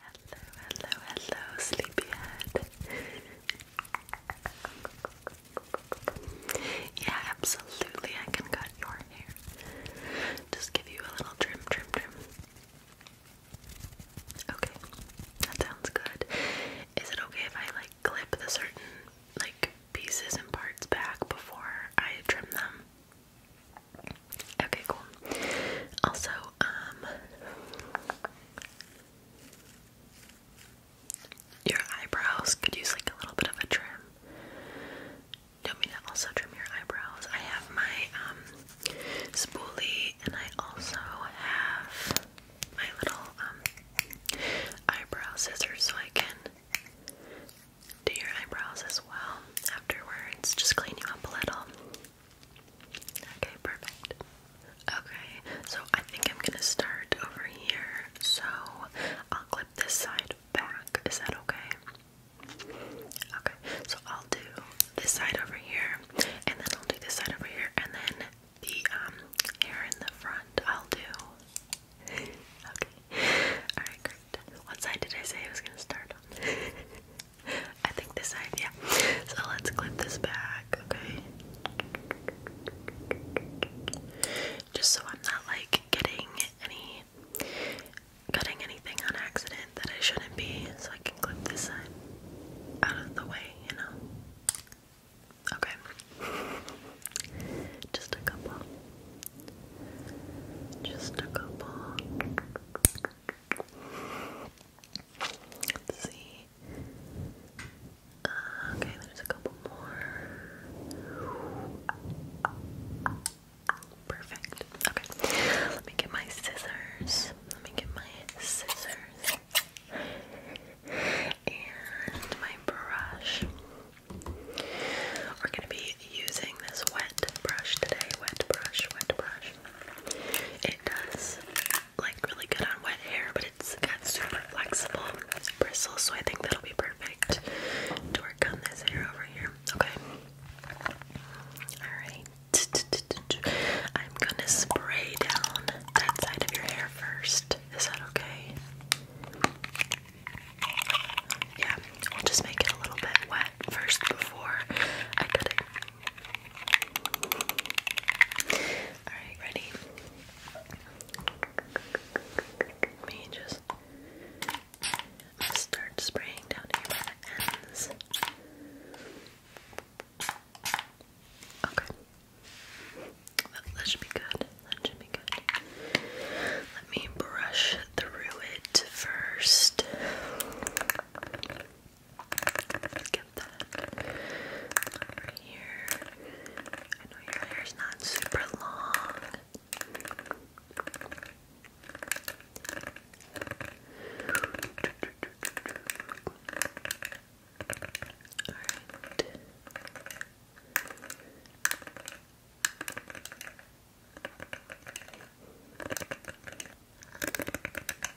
Hello, hello, hello, sleepyhead. yeah, absolutely. I can cut your hair. Just give you a little trim, trim, trim. Okay, that sounds good. Is it okay if I like clip the certain like pieces and parts back before I trim them? Okay, cool. Also, um, your eyebrows could use like a little bit of a trim. Don't mean to also trim your eyebrows. I have my um spoolie and I also have my little um eyebrow scissors so I can do your eyebrows as well afterwards. Just clean you up a little. Okay, perfect. Okay, so I think I'm gonna start over here. So I'll clip this side back. Is that okay? Okay, so I'll do this side over here, and then I'll do this side over here, and then the um hair in the front I'll do. okay. Alright, great. What side did I say I was gonna start on? I think this side, yeah. So let's clip this back, okay? Just so I'm not like getting any cutting anything on accident that I shouldn't be, so I can clip this side out of the way, you know. Okay. Just a couple. Just a couple. Let's see. Uh, okay, there's a couple more. Perfect. Okay, let me get my scissors. Let me get my scissors and my brush. We're gonna be using this wet brush today. Wet brush, wet brush. It does like really good on wet hair, but it's got super flexible bristles, so I think that'll be perfect to work on this hair over here. Okay. Alright. I'm gonna spray down that side of your hair first. Is that okay? Yeah, we'll just make it a little bit wet first before I cut it. Alright, ready? Let me just start spraying down the ends. Okay. that should be good. That should be good. Let me brush through it first. Let's get that over here. I know your hair's not super long. Alright.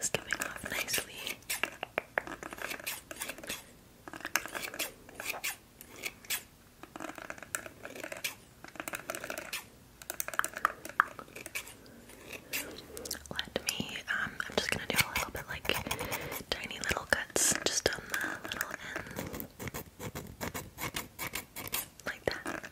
Skipping off nicely. Let me, um, I'm just gonna do a little bit like tiny little cuts just on the little end. Like that.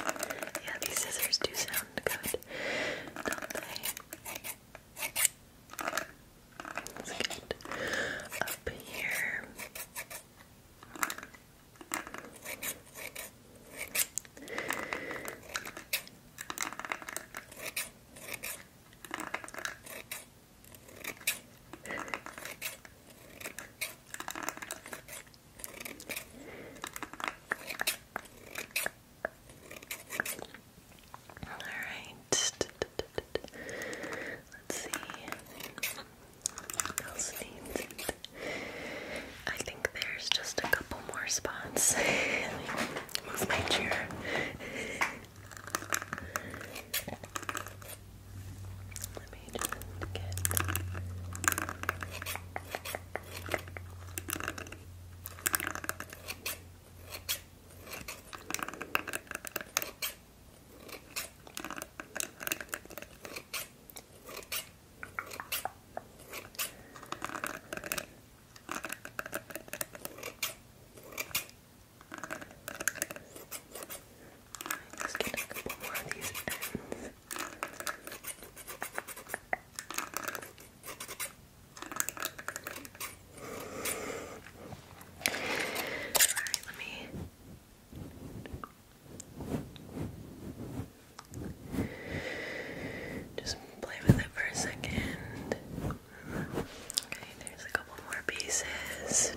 Yeah, these scissors do sound good, don't they? Let's up here. All right. Let's see. I think there's just a couple more spots. Move my chair. Let me just get. let get a couple more of these ends. Alright, let me just play with it for a second. Okay, there's a couple more pieces.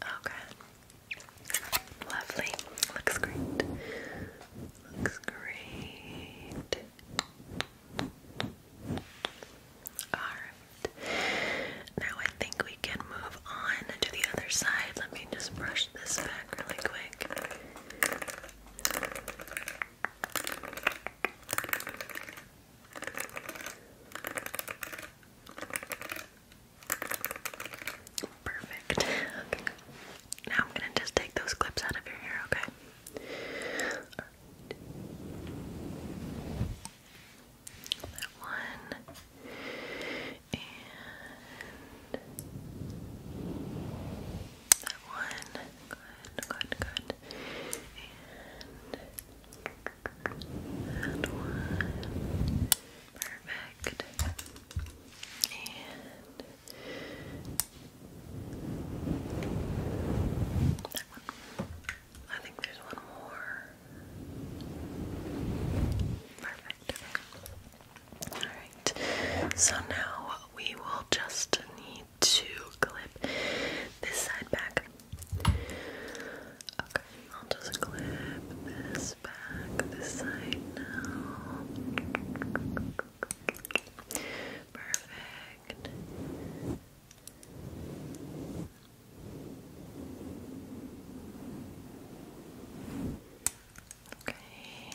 Okay. Oh, Lovely. Looks great. Looks great. Alright. Now I think we can move on to the other side. Let me just brush this back really quick. Perfect. Now I'm gonna just take those clips out of your hair, okay? That one and that one. Good, good, good. And, one. Perfect. And that one. I think there's one more. Perfect. Alright. So now we will just need to clip this side back. Okay, I'll just clip this back, this side now. Perfect. Okay.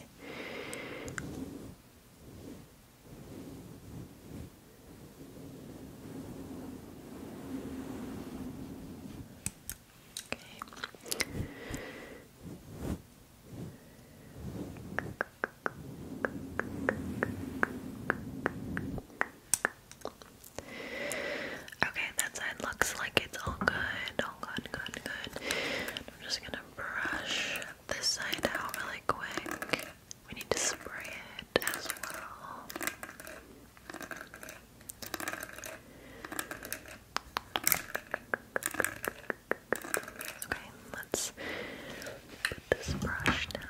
Okay, that side looks like it's all good. All good, good, good. I'm just gonna brush this side out really quick. We need to spray it as well. Okay, let's put this brush down.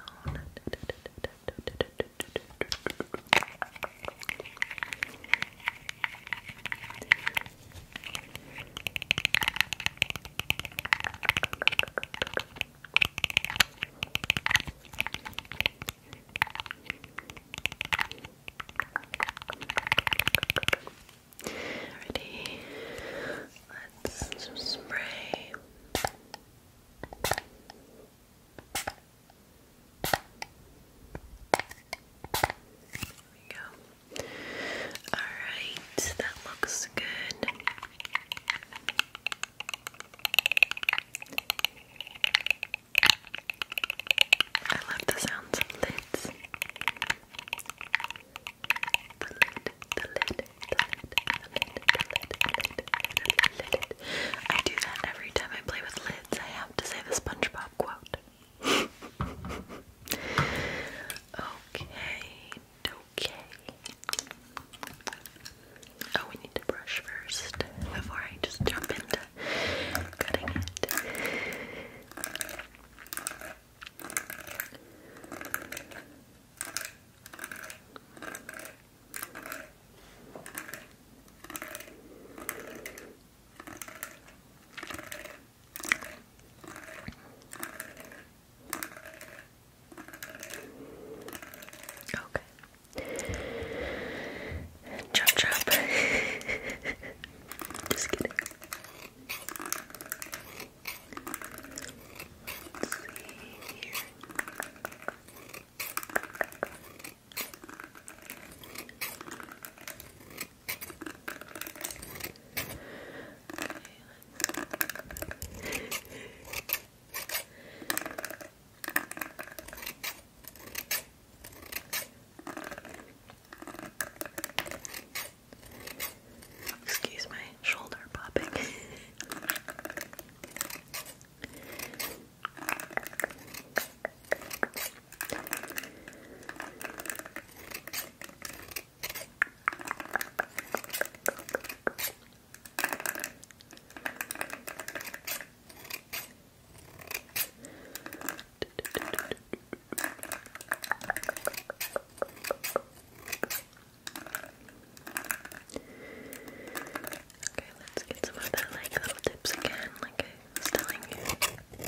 Ready? Let's spray. There we go. All right, that looks good. I love the sounds of lids. The lid, the lid, the lid, the lid, the lid, the lid, the lid, lid. I do that every time I play with lids. I have to say the SpongeBob quote. okay, do Okay. Oh, we need to brush first before I just jump into cutting it. Okay. Chop chop. Just kidding. see here. Excuse my shoulder popping. Okay, let's get some of that like little tips again, like I was telling you.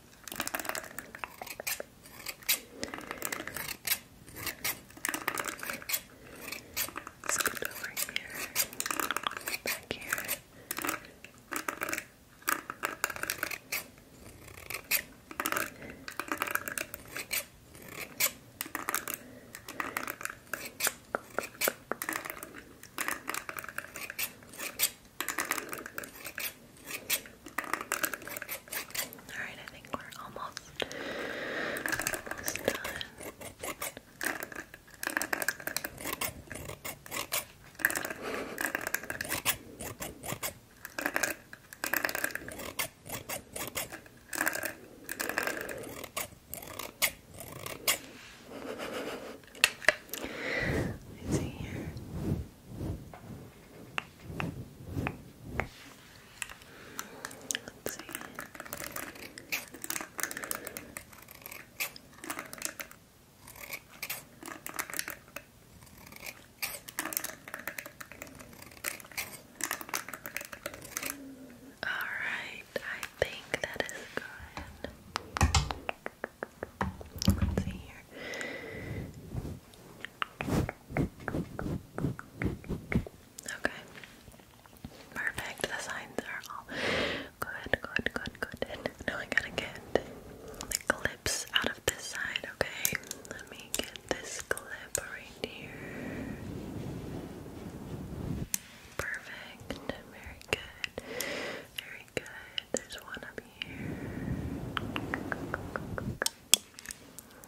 Let's go over here, back here. Alright, I think we're almost, done. Let's see here. Let's All right, I think that is good. Okay. Perfect. The signs are all good, good, good, good. And now I gotta get the clips out of this side, okay? Let me get this clip right here. Perfect. Very good. Very very good. There's one up here.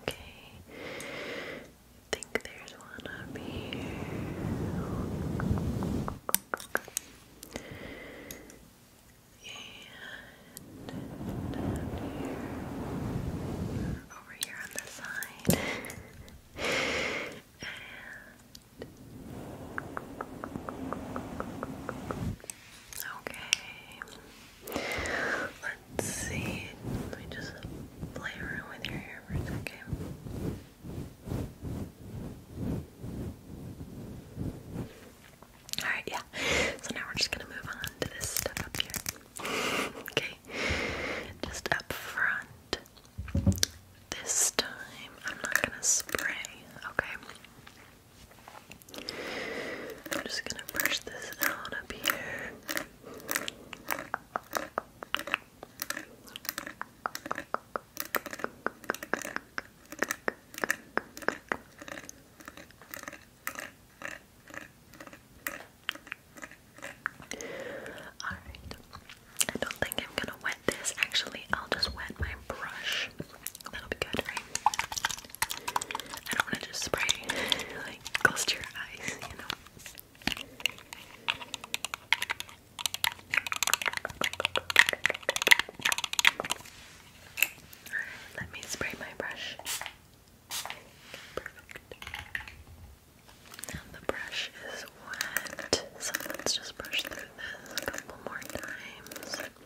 Okay. I think there's one up here. And Over here on the side. and Okay. Let's see. Let me just play around with your hair for a Alright, yeah. So now we're just gonna move on to this stuff up here. Okay. Just up front. This time I'm not gonna spray, okay? I'm just gonna brush this out up here. Alright, I don't think I'm gonna wet this. Actually, I'll just wet my brush That'll be good, right? I don't want to just spray like close to your eyes, you know. Alright, let me spray my brush. Perfect. Now the brush is wet, so let's just brush through this a couple more times. No,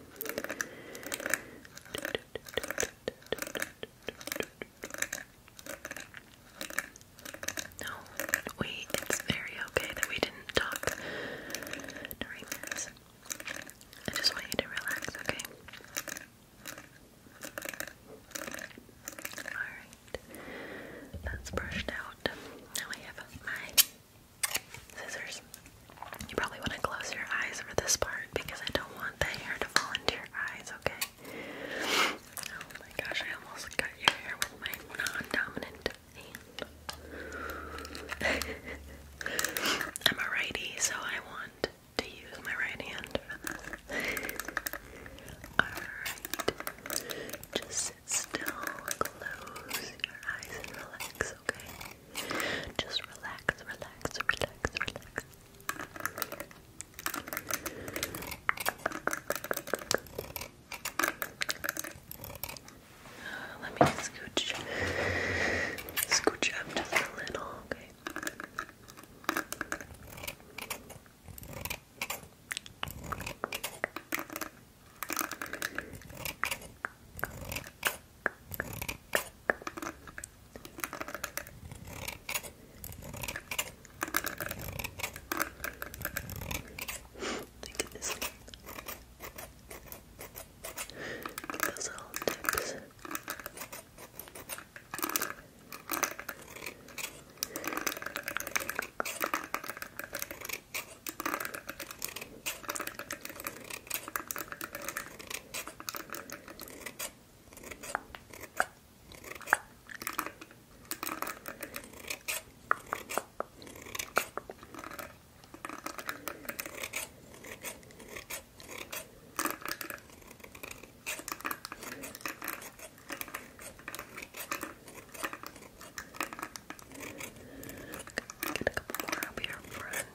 we it's very okay that we didn't talk during this. I just want you to relax, okay? Alright. That's brushed out. Now I have my scissors. You probably want to close your eyes for this part because I don't want the hair to fall into your eyes, okay? Oh my gosh, I almost cut your hair with my non dominant hand. I'm a righty, so I want to use my right hand Alright. Just still, close your eyes and relax, okay? Just relax, relax, relax, relax. let me scooch, scooch up just a little, Okay. Look at this one. Look at those little tips. Get a couple more up here in front.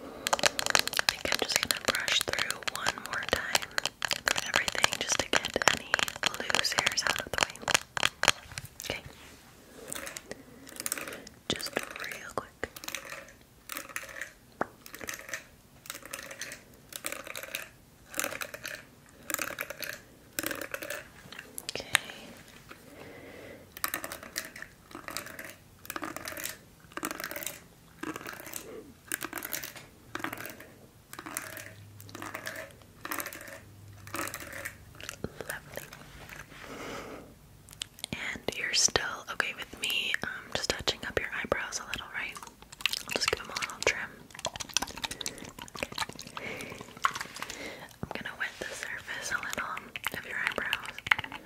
I think I'm just gonna brush through one more time everything just to get any loose hairs out of the way. Okay. Just real quick. Okay. Lovely. And you're still okay with me um, just touching up your eyebrows a little, right? just give them a little trim. I'm gonna wet the surface a little of your eyebrows.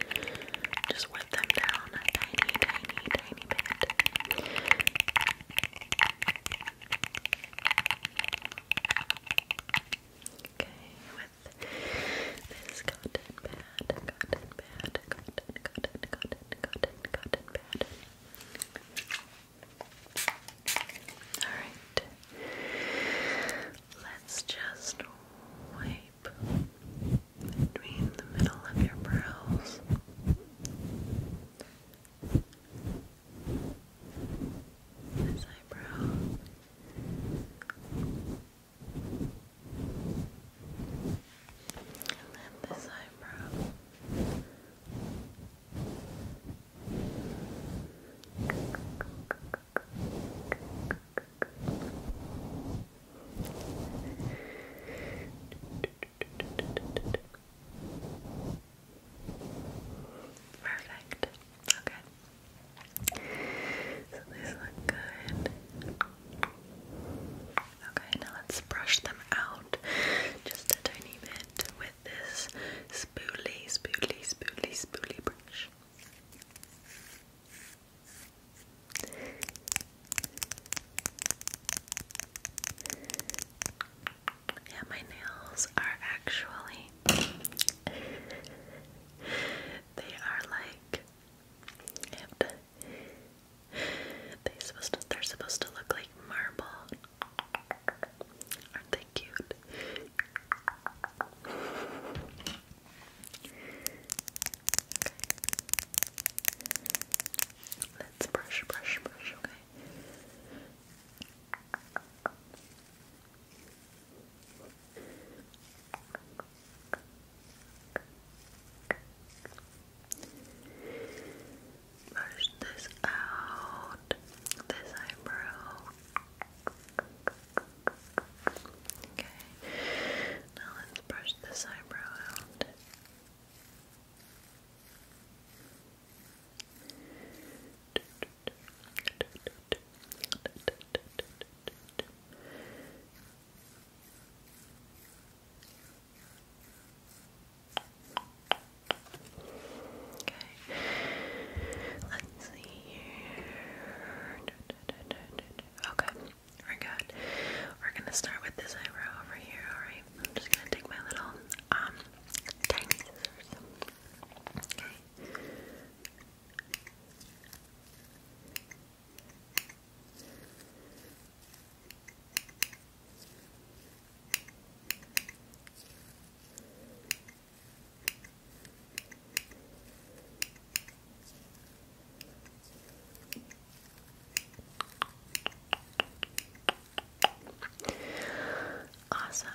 Just whip them down a tiny, tiny, tiny Okay, with this cotton pad, cotton pad, cotton, cotton, cotton, cotton, cotton pad. Alright, let's just wipe, between the middle of your brows. This eyebrow. And then this eyebrow. Perfect. Okay. So these look good. Okay, now let's brush them out just a tiny bit with this spoolie, spoolie, spoolie, spoolie brush. Yeah, my nails are actually they are like they supposed to, they're supposed to look like marble. Aren't they cute? Let's brush, brush, brush, okay? Brush this out, this eyebrow. Okay, now let's brush this eyebrow out. Okay, let's see here. Okay, we're good. We're gonna start with this eyebrow over here, alright? I'm just gonna take my little, um, tiny scissors. Okay. Okay. Awesome.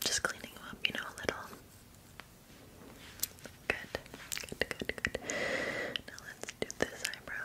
Just cleaning them up, you know, a little. Good, good, good, good. Now let's do this eyebrow.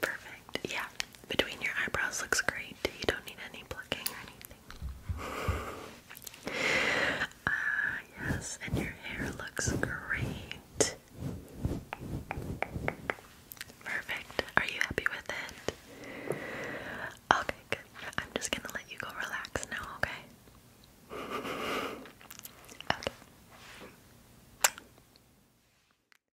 Perfect. Yeah. Between your eyebrows looks great. You don't need any plucking or anything. Ah, yes. And your hair looks great. Perfect. Are you happy with it? Okay, good. I'm just gonna let you go relax now, okay? Okay.